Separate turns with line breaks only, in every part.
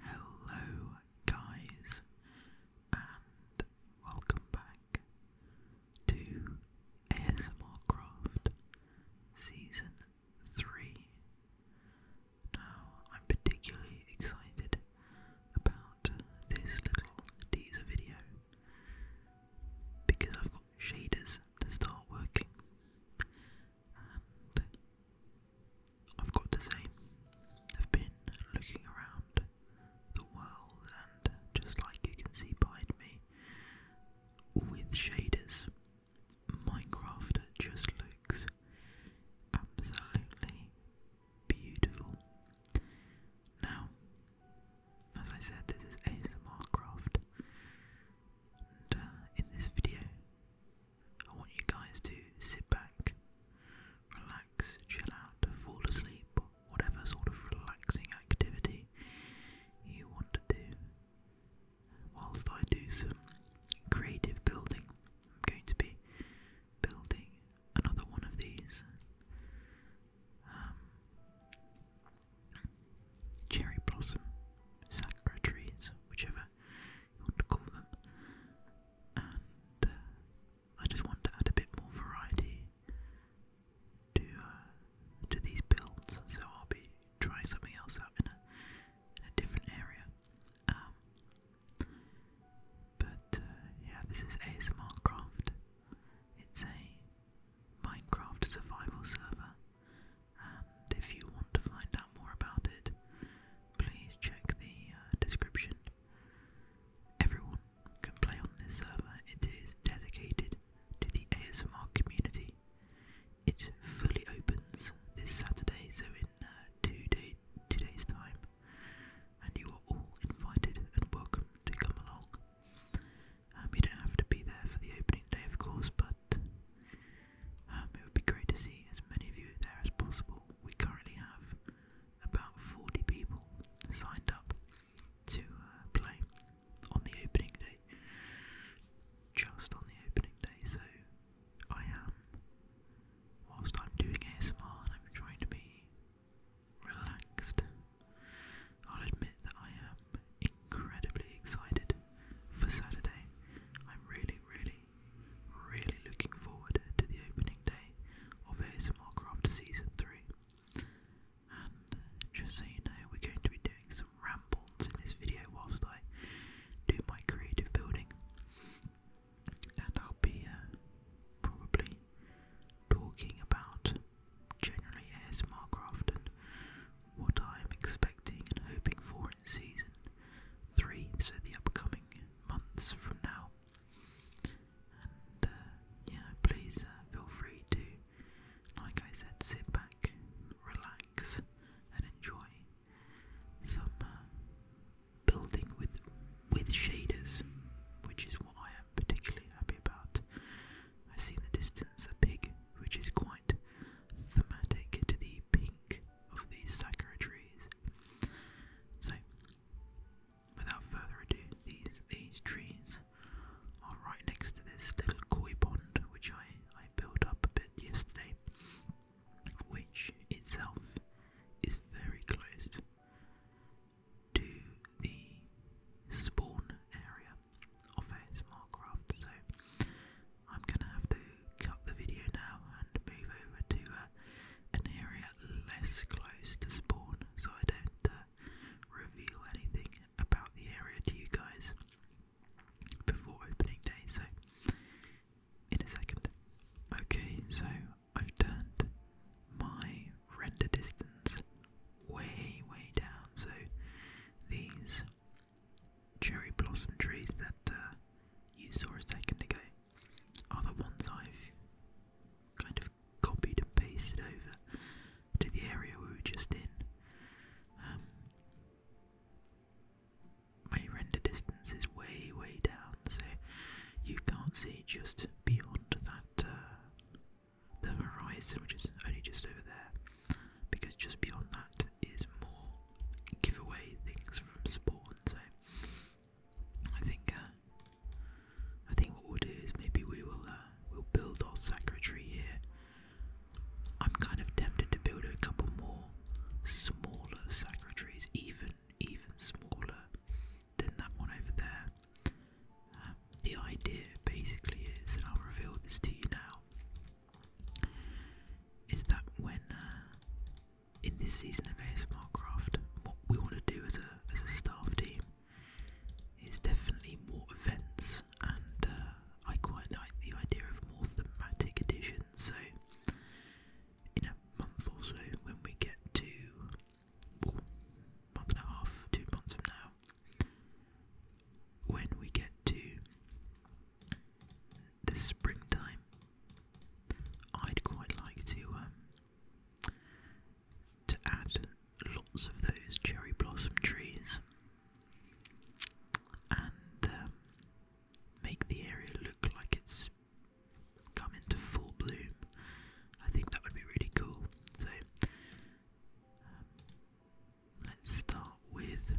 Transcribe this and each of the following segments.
Hello, guys, and welcome back to ASMR Season 3. Now, I'm particularly excited about this little teaser video because I've got shaders to start working, I've got to say, I've been looking around the world, and just like you can see behind me, with shaders, Minecraft just looks absolutely beautiful. Now, as I said, this is ASMR Craft, and uh, in this video, I want you guys to sit back, relax, chill out, fall asleep, whatever sort of relaxing activity you want to do. Whilst I do some creative building, I'm going to be building another one of these um, cherry blossom, sakura trees, whichever want to call them. And uh, I just want to add a bit more variety to uh, to these builds, so I'll be trying something else out in a different area. Um, but uh, yeah, this is ASMR Craft. It's a Minecraft survival server, and if you want to find out more about it, please check the uh, description. Everyone can play on this server, it is dedicated to the ASMR community. It fully opens this Saturday, so in uh, two, day, two days' time, and you are all invited and welcome to come along. Um, you don't have to be there for the opening day, of course, but um, it would be great to see as many of you there as possible. We currently have about 40 people signed up to uh, play on the opening day. Just on the opening day, so I am, whilst I'm doing ASMR and I'm trying to be relaxed, I'll admit that I am incredibly excited for Saturday. I'm really, really Really looking forward to the opening day of ASMR Craft Season 3. And uh, just so you know, we're going to be doing some rambles in this video whilst I do my creative building. And I'll be uh, probably talking about generally ASMR Craft and what I'm expecting and hoping for in Season 3, so the upcoming months from now. And uh, yeah, please uh, feel free to, like I said, sit back, relax, and enjoy some uh, building with with shaders, which is what I am particularly happy about. I see in the distance a pig, which is quite thematic to the pink of these sakura trees. So, without further ado, these these trees are right next to this little koi pond which I, I built up a bit yesterday, which itself is very close to the spawn area of ASMR So I'm gonna have to cut the video now and move over to uh, an area less close to spawn so I don't uh, reveal anything about the area to you guys before opening day. So, in a second. Okay, so I've turned my render distance way, way down. So, these cherry blossom trees that uh, you saw a second ago are the ones I've kind of copied and pasted over to the area we were just in. Um, my render distance is way, way down, so you can't see just beyond that uh, the horizon, which is only just over there, because just beyond that is more giveaway things from spawn. I think uh, I think what we'll do is maybe we will uh, we'll build our secretary here. I'm kind of tempted to build a couple more smaller secretaries, even even smaller than that one over there. Uh, the idea basically is, and I'll reveal this to you now, is that when in this season of ASMR Craft, what we want to do as a as a staff team is definitely more events, and uh, I quite like the idea of more thematic editions. So in a month or so, when we get to oh, month and a half, two months from now, when we get to the springtime, I'd quite like to um, to add lots of those cherry blossom trees and um, make the area look like it's come into full bloom. I think that would be really cool. So um, let's start with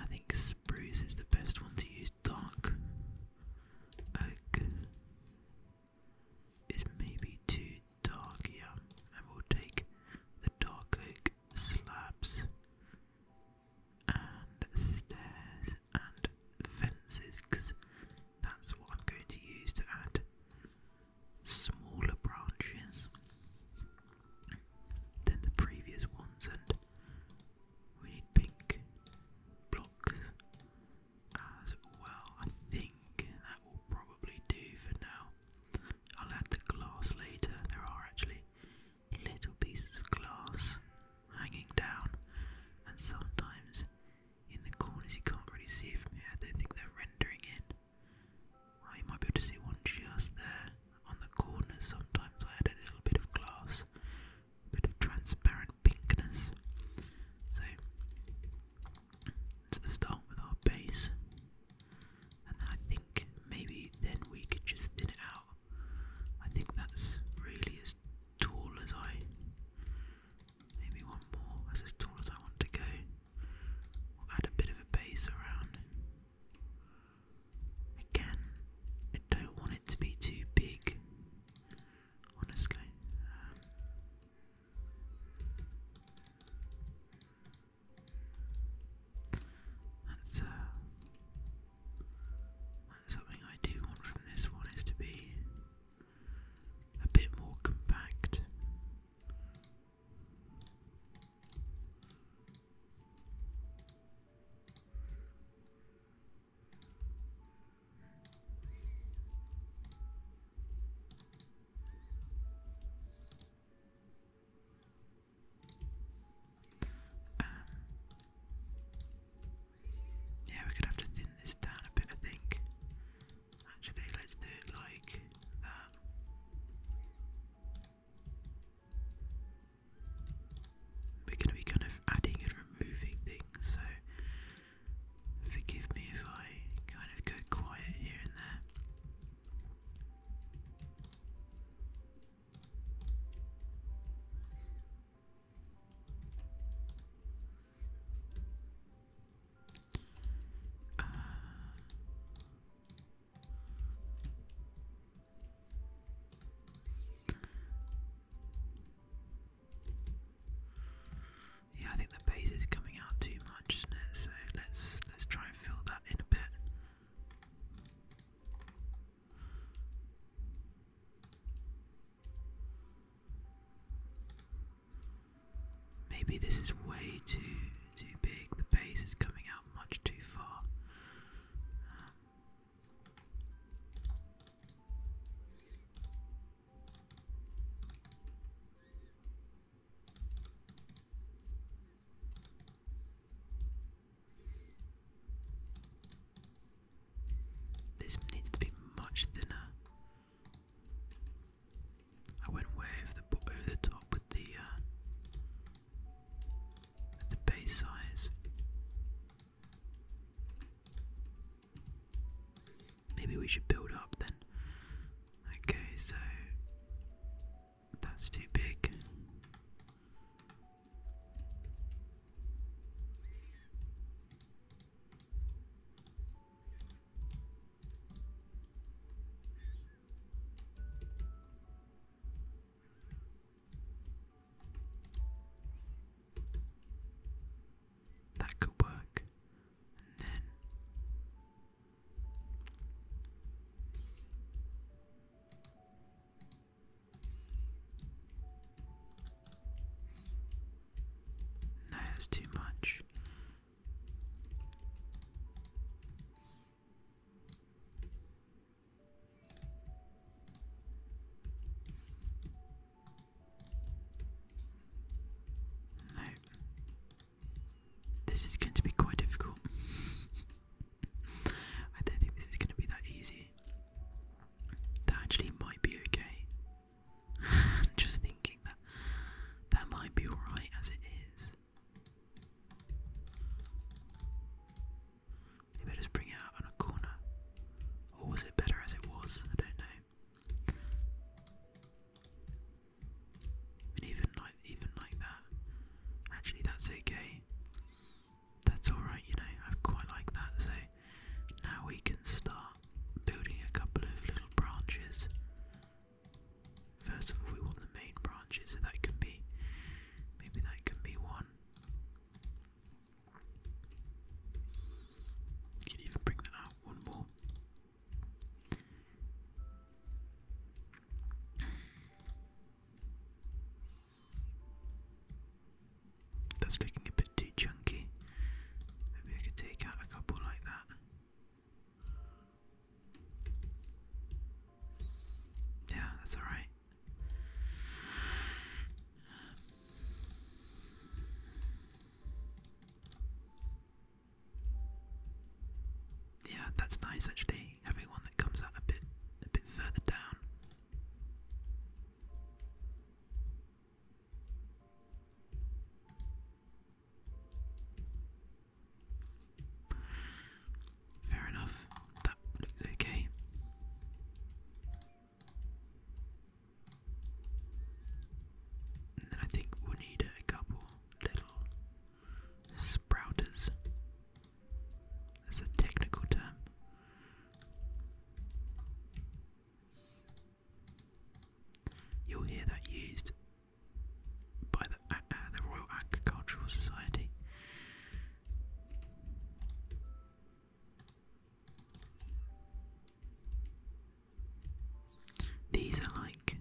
I think spruce is the best one to use. Dark oak is maybe too dark, yeah. And we'll take the dark oak slabs and stairs and fences that's what I'm going to use to add smaller branches than the previous ones and we need pink blocks as well. I think that will probably do for now. I'll add the glass later. There are actually little pieces of glass hanging down, and sometimes in the corners you can't really see from here. I don't think they're rendering in. Oh, you might be able to see one just there. On the corners, sometimes I had a little bit of glass, a bit of transparent pinkness. So, let's start with our base, and I think maybe then we could just thin it out. I think that's really as tall as I. Maybe one more. That's as tall as I want to go. We'll add a bit of a base around. Again, I don't want it to be too big, honestly. Um, uh, that's something I do want from this one is to be a bit more compact. Um, yeah, we're gonna have to thin this down a bit, I think. Actually, let's do it like that. We're going to be kind of adding and removing things, so forgive me if I kind of go quiet here and there. Uh, yeah, I think the bass is coming out too much, isn't it? So let's let's try and fill that in a bit. Maybe this is way too too big. The bass is coming out much too far. This needs to be much thinner. I went way over the top with the uh, the base size. Maybe we should build up then. Okay, so that's too big. That could work. then that's too much. This is going to be quite difficult. I don't think this is going to be that easy. That actually might be okay. just thinking that that might be alright as it is. Maybe just bring it out on a corner. Or was it better as it was? I don't know. And even like even like that. Actually that's okay. That's alright, you know, I quite like that, so now we can start building a couple of little branches. First of all we want the main branches, so that can be maybe that can be one. Can even bring that out one more. That's looking a bit too chunky. Maybe I could take out a couple like that. Yeah, that's alright. Yeah, that's nice actually, having one that comes out a bit a bit further down. Fair enough. That looks okay. then I think we need a couple little sprouters. That's a technical term. You'll hear that used by the uh, uh, Royal Agricultural Society. These are like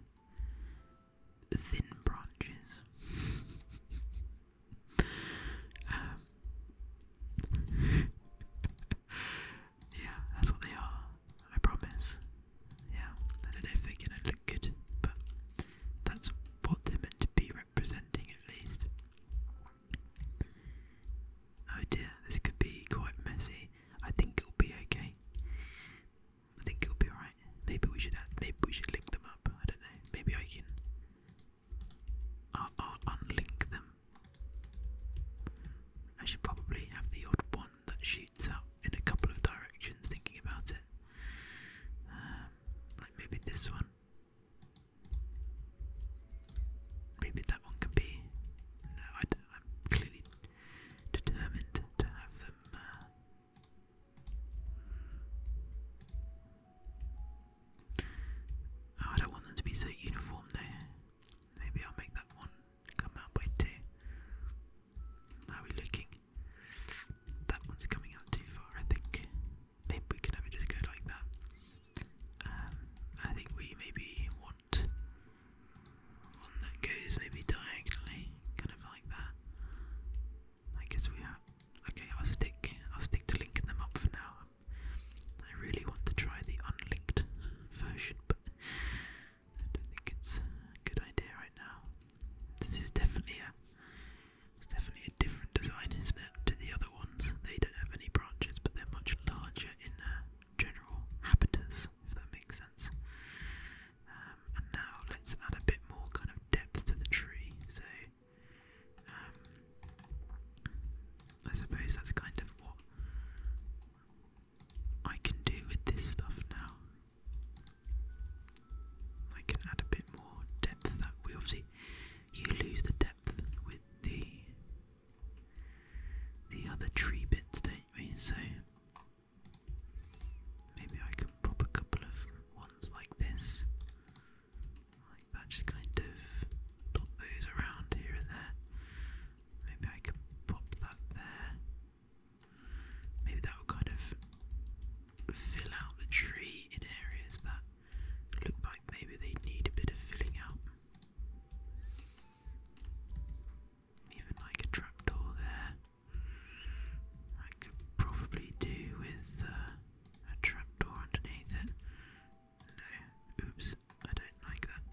thin branches. Um, yeah, that's what they are. I promise. Yeah, I don't know if they're gonna look good, but that's what they're meant to be representing at least. Oh dear, this could be quite messy. I think it'll be okay. I think it'll be alright. Maybe we should maybe we should link them up. I don't know. Maybe I can uh, uh, unlink them. I should probably have the odd one that shoots out in a couple of directions. Thinking about it, um, like maybe this one. Maybe that one can be. No, d I'm clearly determined to have them. Uh, oh, I don't want them to be so uniform there. Maybe I'll make that one come out by are we looking? That one's coming out too far, I think maybe we can ever just go like that. Um, I think we maybe want one that goes maybe diagonally, kind of like that. I guess we have. Okay, I'll stick. I'll stick to linking them up for now. I really want to try the unlinked version, but I don't think it's a good idea right now. This is definitely a it's definitely a different design, isn't it, to the other ones? They don't have any branches, but they're much larger in uh, general habitus, if that makes sense. Um, and now let's add a bit more kind of depth to the tree. So, um, I suppose that's kind of what I can do with this stuff now. I can add a bit more depth we obviously you lose the depth with the the other tree bits, don't we? So maybe I can pop a couple of ones like this, like that, just kind of pop those around here and there. Maybe I can pop that there. Maybe that will kind of fill out the tree in areas that Look like maybe they need a bit of filling out. Even like a trapdoor there. I could probably do with uh, a trapdoor underneath it. No, oops, I don't like that.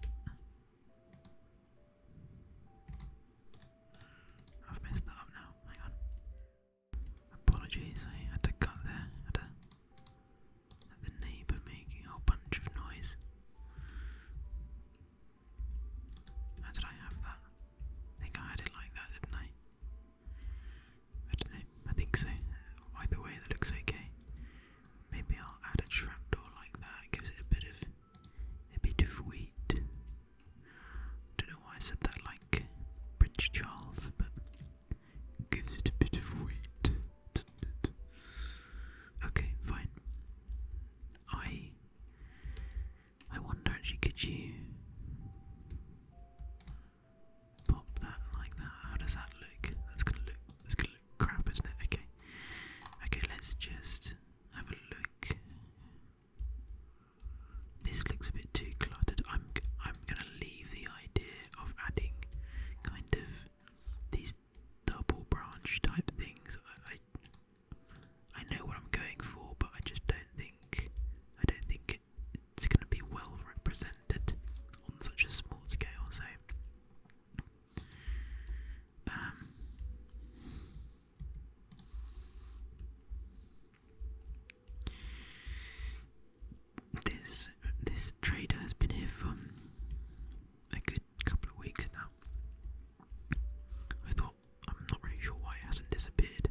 I've messed that up now, hang on. Apologies, I had to cut there. Had, the neighbour making a whole bunch of noise. How did I have that? think I had it like that, didn't I? I don't know. I think so. Either way, that looks okay. Maybe I'll add a trapdoor like that. gives it a bit of a bit of weight. Don't know why I said that like Prince Charles, but gives it a bit of weight, Okay, fine. I I wonder actually could you pop that like that? How does that look? That's gonna look that's gonna look crap, isn't it? Okay. Okay, let's just have a look. This looks a bit too cluttered. I'm I'm gonna leave the idea of adding kind of these double branch type things. I, I, know what I'm going for, but I just don't think I don't think it, it's going to be well represented on such a small scale. So. Um, this this trader has been here for a good couple of weeks now. I thought I'm not really sure why it hasn't disappeared.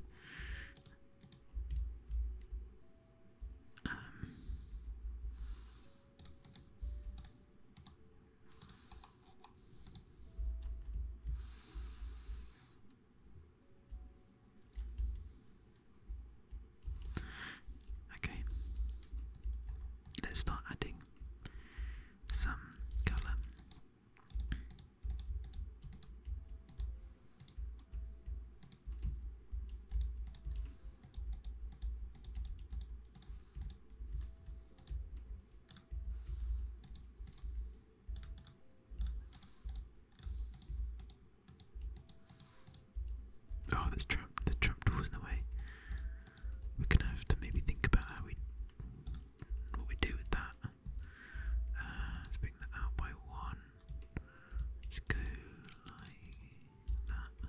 Um, Okay, let's start adding some colour. Oh, that's trap. The trap door's in the way. We're gonna have to maybe think about how we what we do with that. Uh, let's bring that out by one. Let's go like that.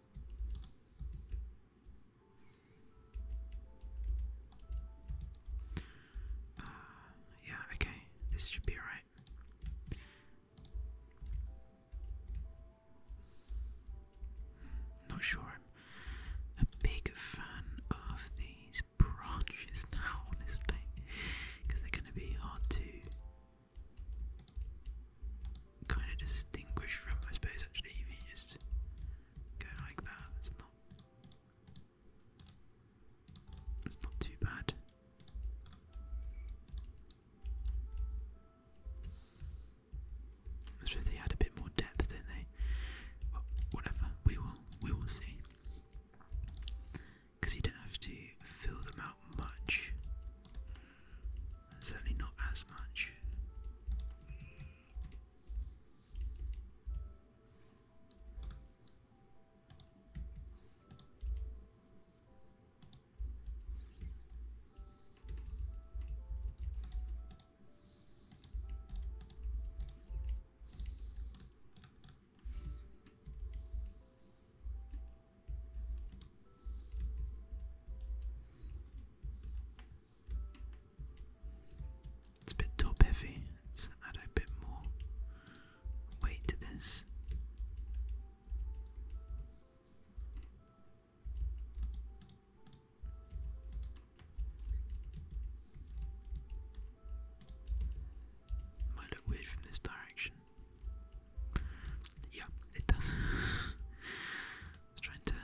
Uh, yeah, okay, this should be alright. Not sure a big fan of these branches now, honestly, because they're going to be hard to kind of distinguish from, my space actually, if you just go like that, it's not. It's not too bad. they had a bit more depth, don't they? Well, whatever, we will, we will see. Because you don't have to fill them out much. Certainly not as much. It's a bit top heavy, let's add a bit more weight to this. Might look weird from this direction. Yeah, it does. trying to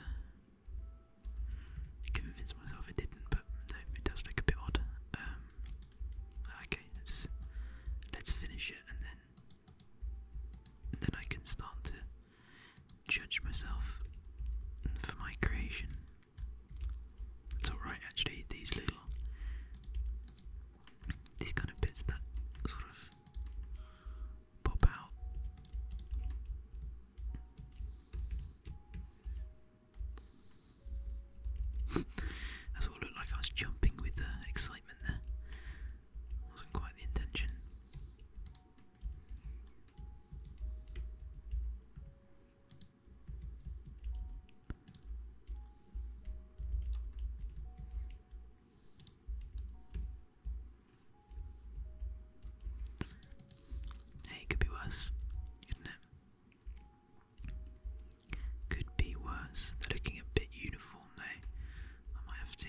convince myself it didn't, but no, it does look a bit odd. Um, okay, let's let's finish it, and then and then I can start to judge myself for my creation. It's alright actually, these little these kind of bits that sort of poop out. That's what it looked like. I was jumping with the uh, excitement there. Wasn't quite the intention. Hey, could be worse, couldn't it? Could be worse. They're looking a bit uniform though. I might have to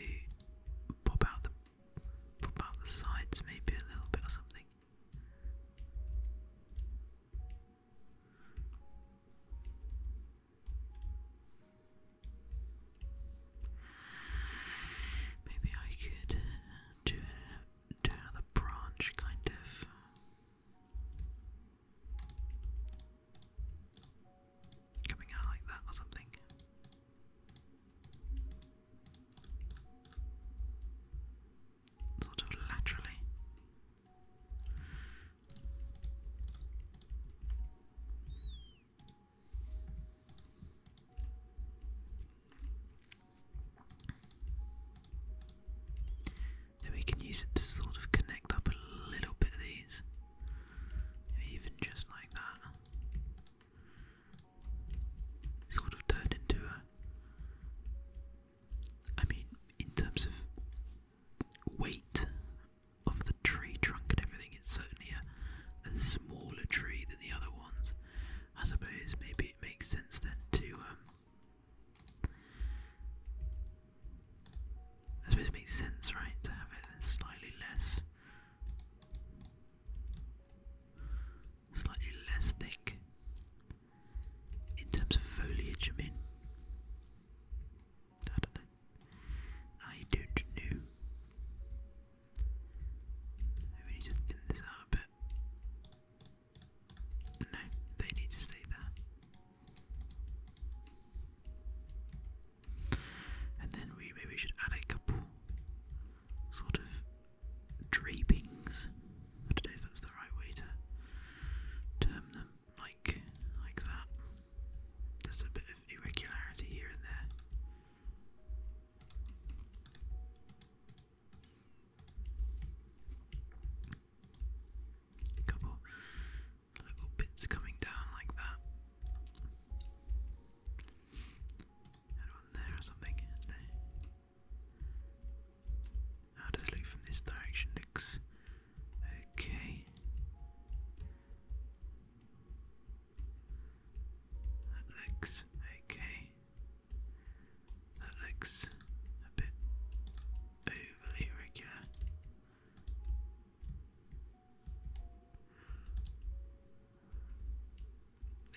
pop out the pop out the sides maybe a little bit or something. Maybe I could do, do another branch, kind of. Coming out like that or something. Sort of laterally. Then we can use it to sort of connect up a little bit of these, even just like that. Sort of turned into a. I mean, in terms of weight of the tree trunk and everything, it's certainly a, smaller tree than the other ones. I suppose maybe it makes sense then to. Um, I suppose it makes sense, right, to have it slightly less, slightly less thick in terms of foliage. I mean, I don't know. I don't know. We need thin this out a bit. No, they need to stay there. And then we maybe should add a couple sort of drapings. I don't know if that's the right way to term them, like like that. There's a bit of irregularity here and there. A couple little bits coming down like that. And one there or something. How does it look from this direction? Looks okay. That looks okay. That looks a bit overly regular.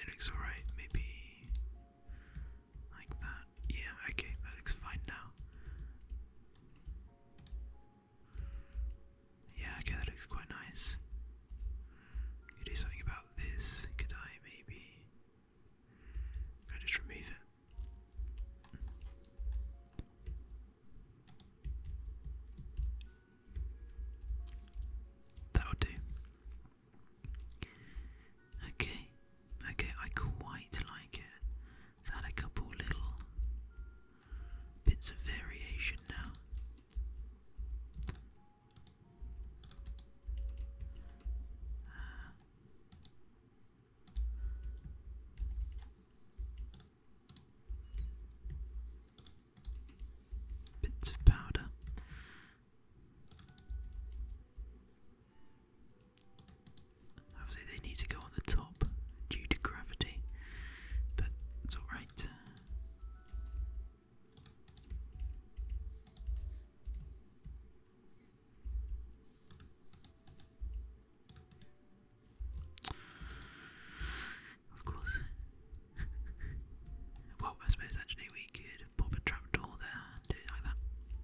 It looks alright, maybe like that. Yeah, okay, that looks fine now. Yeah, okay, that looks quite nice. do something about this, could I maybe? just remove it? That'll do. Okay, okay, I quite like it. add a couple little bits of variation now. Uh. bits of powder. Obviously, they need to go on the top due to gravity, but it's alright. Of course. well, I suppose actually we could pop a trapdoor there do it like that.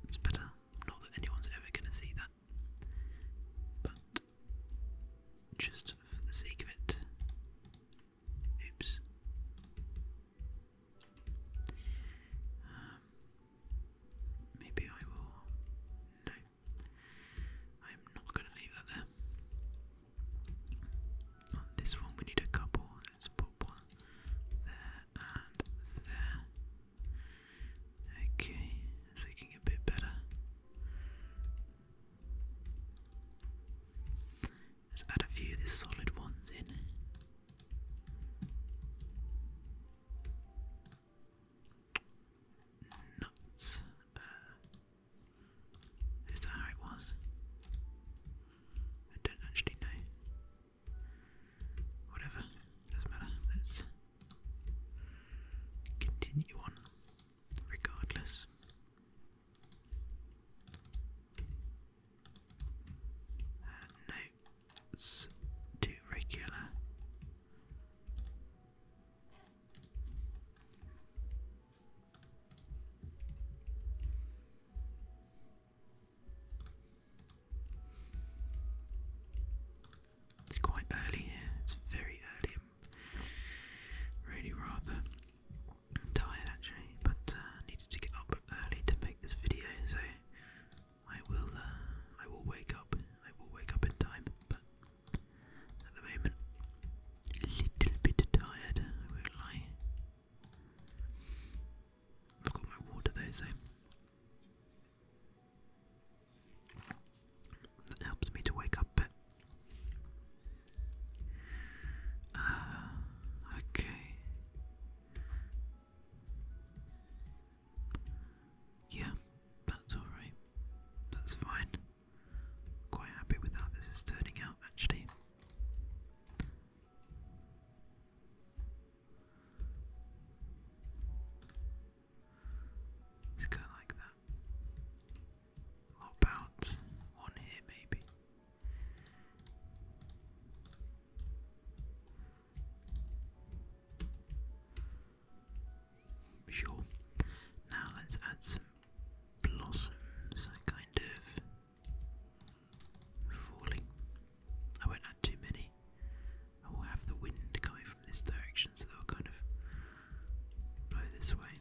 It's better. Not that anyone's ever going to see that. But just for the sake of it. Oops. Um, maybe I will. No. I'm not going to leave that there. On this one, we need a couple. Let's put one there and there. Okay, it's looking a bit better. Let's add a few of these solid ones in. Nuts. Uh, is that how it was? I don't actually know. Whatever, doesn't matter. Let's continue on regardless. Uh, it's too regular. It's quite early it's very early really rather tired actually, but uh, needed to get up early to make this video, so I will. Uh, I will wake up. I will wake up in time, but at the moment, a little bit tired. I will lie. I've got my water though, so that helps me to wake up bit. Uh, okay. Yeah, that's alright. That's fine. Quite happy with how this is turning out, actually. Let's like that about one here, maybe? Sure. Now let's add some blossoms, kind of falling. I won't add too many. I will have the wind coming from this direction, so they'll kind of blow this way.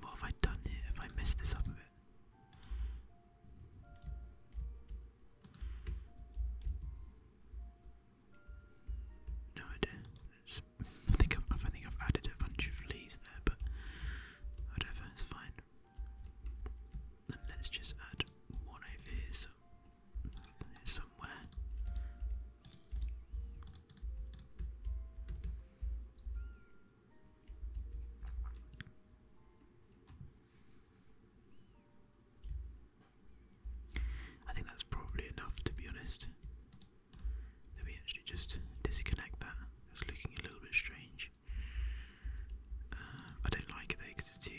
What have I done here? If I messed this up a bit. No idea. I think i think I've added a bunch of leaves there, but whatever, it's fine. And let's just add one over I think that's probably enough to be honest. Let me actually just disconnect that. It's looking a little bit strange. Uh, I don't like it because it's too,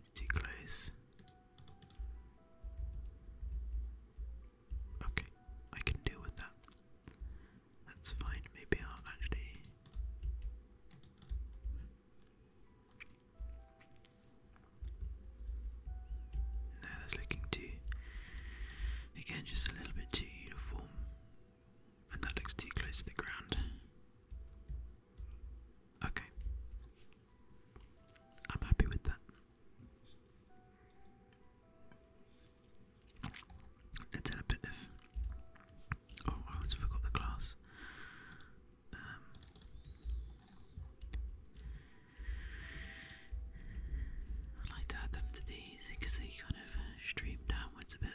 it's too close. Okay, I can deal with that. That's fine, maybe I'll actually. No, that's looking too. Again, just a little bit too uniform. And that looks too close to the ground. Okay, I'm happy with that. Let's add a bit of. Oh, I always forgot the glass. Um, I like to add them to these because they kind of stream downwards a bit.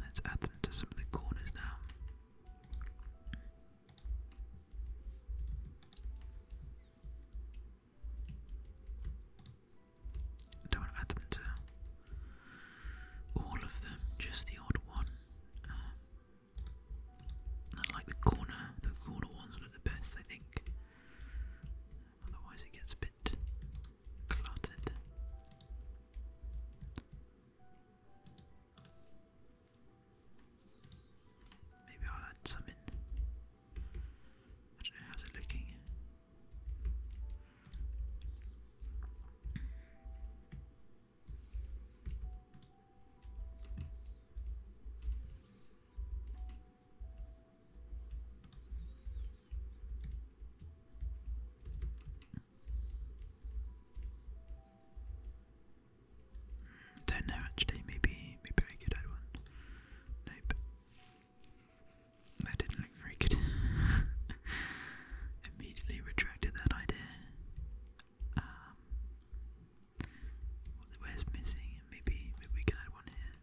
Let's add them to some of the corners now. don't add them to all of them, just the odd one. Um, I like the corner, the corner ones look the best, I think. Otherwise, it gets a bit cluttered. Maybe I'll add some I don't know how's it looking. Don't know actually. Maybe maybe I could add one. Nope. That didn't look very good. Immediately retracted that idea. Um, missing? maybe we can add one here.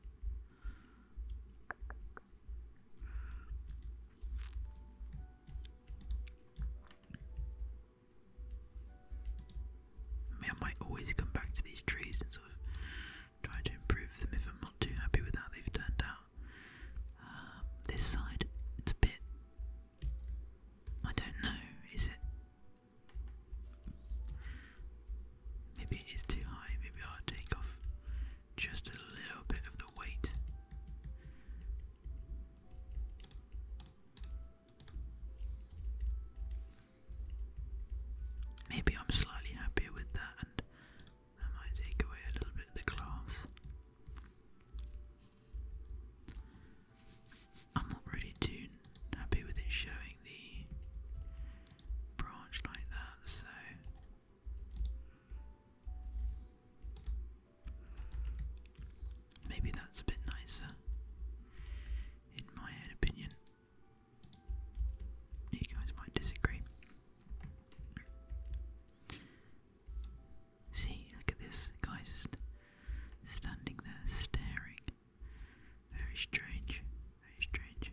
I might always come back to these trees and sort of try to improve them if I'm not too happy with how they've turned out. Um, this side, it's a bit. I don't know, is it? Maybe it is too high, maybe I'll take off just a little bit of the weight. Maybe I'm slightly happier with that, and I might take away a little bit of the glass. I'm not really too happy with it showing the branch like that, so Maybe that's a bit nicer, in my own opinion. You guys might disagree. See, look at this guy's just standing there staring. Very strange, very strange.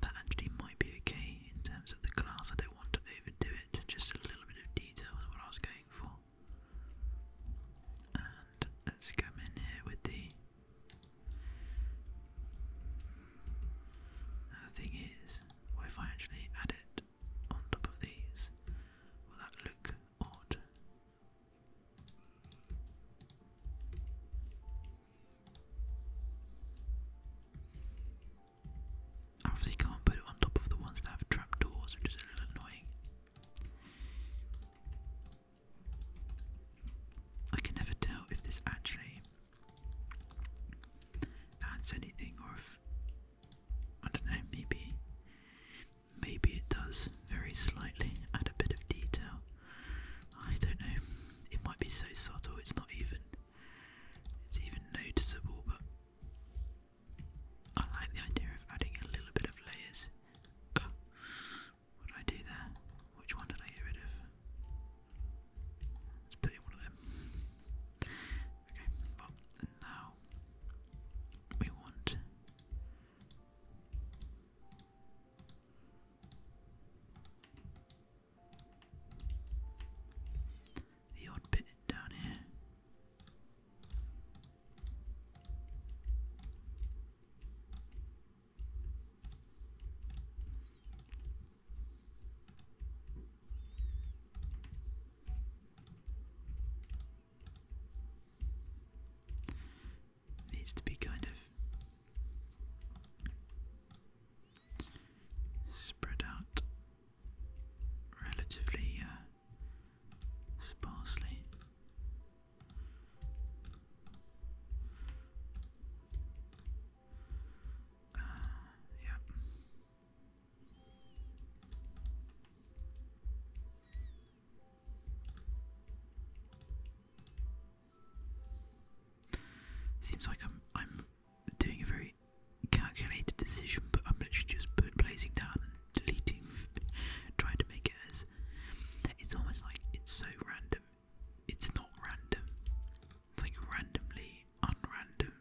That actually might be okay in terms of the glass. I don't want to overdo it, just a little little bit of detail is what I was going for. And let's come in here with the. Now the thing is, well, if I actually add it on top of these, will that look odd? Obviously can't put it on top of the ones that have trapdoors, which is a little annoying. I can never tell if this actually adds anything or if I maybe maybe it does very slightly add a bit of detail. I don't know. It might be so subtle it's not even it's even noticeable but I like the idea of adding a little bit of layers. Oh, what did I do there? Which one did I get rid of? Let's put in one of them. Okay, well, now we want the odd bit down here. Needs to be kind of spread out relatively uh, sparsely. Uh, Seems like I'm doing a very calculated decision, but I'm literally just placing down and deleting, trying to make it as. It's almost like it's so random. It's not random. It's like randomly unrandom.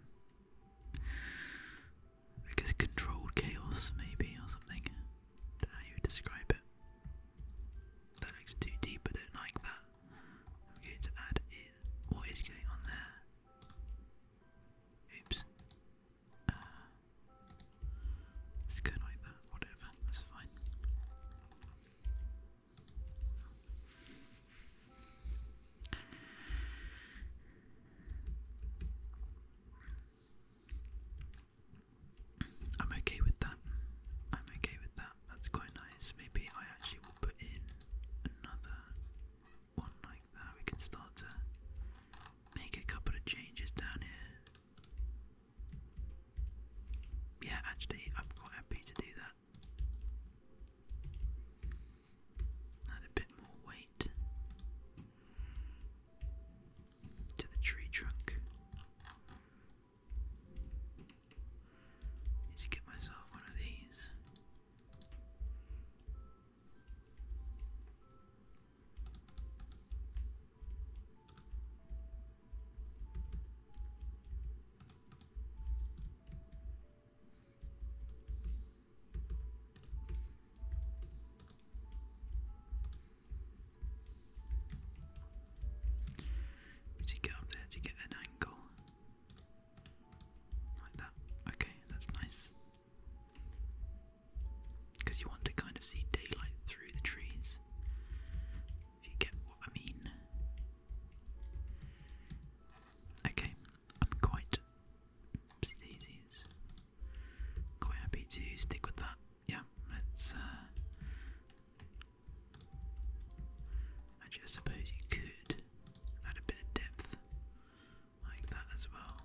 I guess controlled chaos, maybe, or something. how you describe it. That looks too deep, I don't like that. I'm going to add in what is going on there. Oops. it's uh, going like that, whatever, that's fine. I'm okay with that. I'm okay with that. That's quite nice. Maybe I actually will put in another one like that, we can start to make a couple of changes down here. Yeah, actually, I'm quite happy to do that. Add a bit more weight to the tree trunk. Need to get myself one of these. Does get up there to get an angle? Like that. Okay, that's nice. Because you want to kind of see daylight through the trees. If you get what I mean. Okay, I'm quite Quite happy to stick with that. Yeah, let's. Uh, Actually, suppose you could add a bit of depth like that as well.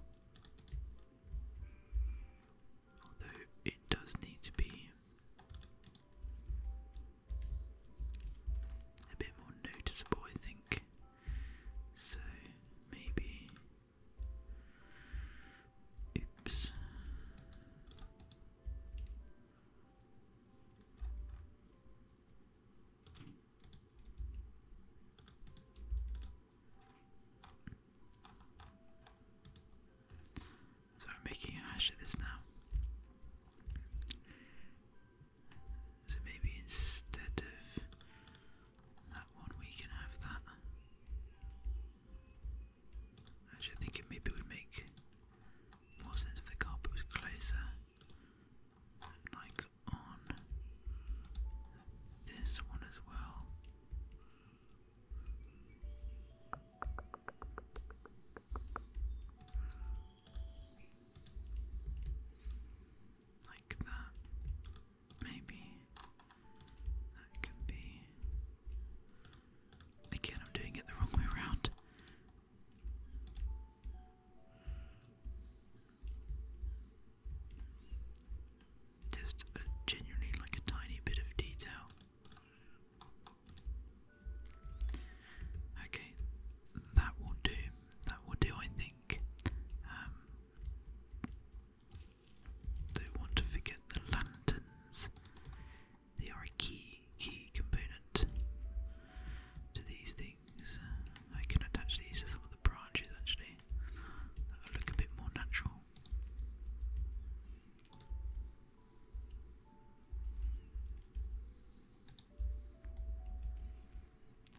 Although it does need to be a bit more noticeable, I think. So maybe. Oops. So I'm making a hash of this now. So maybe instead of that one, we can have that. Actually, I maybe would make more sense if the carpet closer, like on this one as well. Like that. Maybe that can be. Again, I'm doing it the wrong way around. Just a, genuinely like a tiny bit of detail. Okay, that will do. That will do, I think. Um, don't want to forget the lanterns. They are a key, key component to these things. Uh, I can attach these to some of the branches actually. That'll look a bit more natural.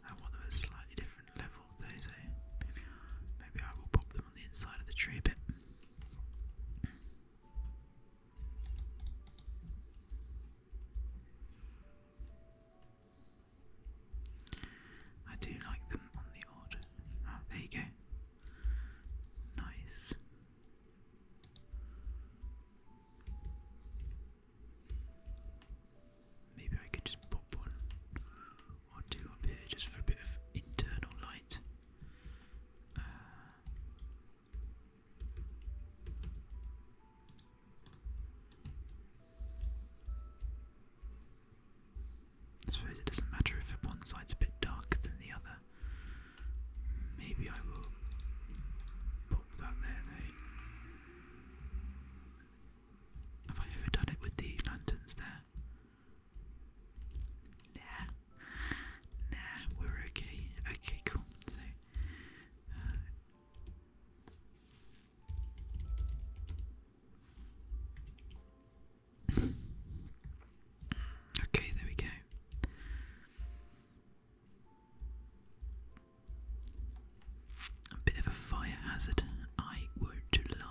I want them at slightly different levels, they maybe I will pop them on the inside of the tree a bit. I do like them on the odd. Ah, there you go. Nice. Maybe I could just pop one or two up here just for a bit of internal light. Uh, I suppose it doesn't matter if one side's a bit darker than the other. Maybe I will pop that there Have I ever done it with the lanterns there? Nah. Nah, we're okay. Okay, cool. So uh, okay, there we go. A bit of a fire hazard, I won't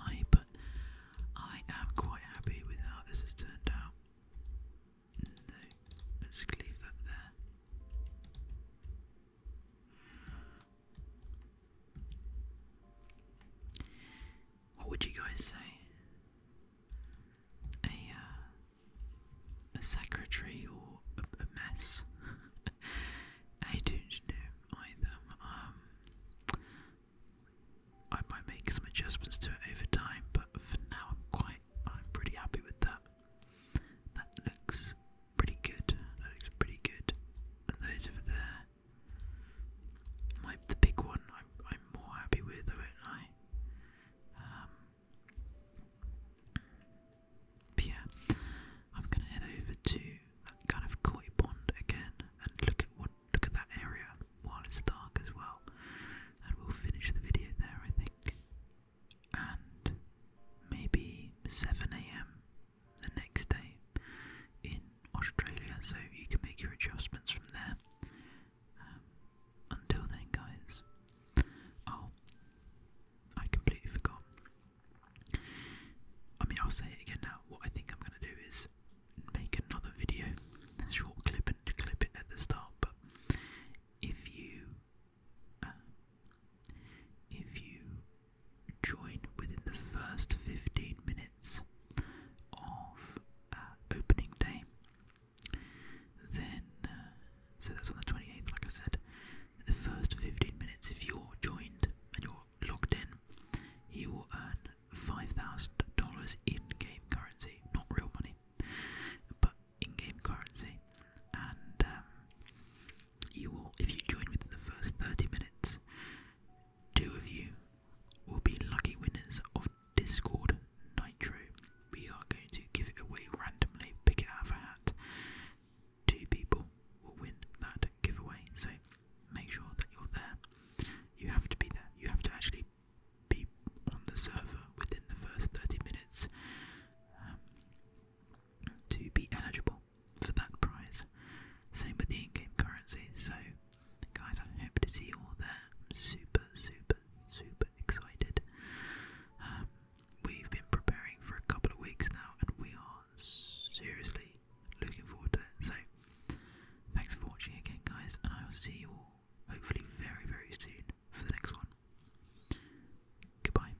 lie, but I am quite happy with how this has turned out. No, let's leave that there. What would you guys say? A uh, a secretary or a, a mess? I don't know either. Um, I might make some adjustments to it over time, but for now, I'm quite, I'm pretty happy with that. That looks pretty good. looks pretty good. And those over there, the big one, I'm more happy with, though, not I? Um, but yeah, I'm gonna head over to that kind of koi pond again and look at what look at that area while it's dark as well, and we'll finish the video there, I think. And maybe 7 a.m the next day in Australia, so you can make your adjustments from there. Um, until then, guys. Oh, I completely forgot. I mean, I'll say it again now. What I think I'm going to do is make another video, short clip, and clip it at the start. But if you uh, if you join within the first 15 minutes of uh, opening day, then, uh, so that's on the 28th, like I said, the first 15 minutes, if you're joined and you're logged in, you will earn $5,000 in game currency, not real money, but in game currency, and um, you will, if you join within the first 30 minutes, two of you will be lucky winners of Discord Nitro. We are going to give it away randomly, pick it out of a hat. Two people will win that giveaway, so make sure that you're there. You have to be there, you have to actually be on the server within the first 30 minutes um, to be eligible for that price. Same with the in-game currency. So, guys, I hope to see you all there. I'm super, super, super excited. Um, we've been preparing for a couple of weeks now, and we are seriously looking forward to it. So, thanks for watching again, guys, and I will see you all hopefully very, very soon for the next one. Goodbye.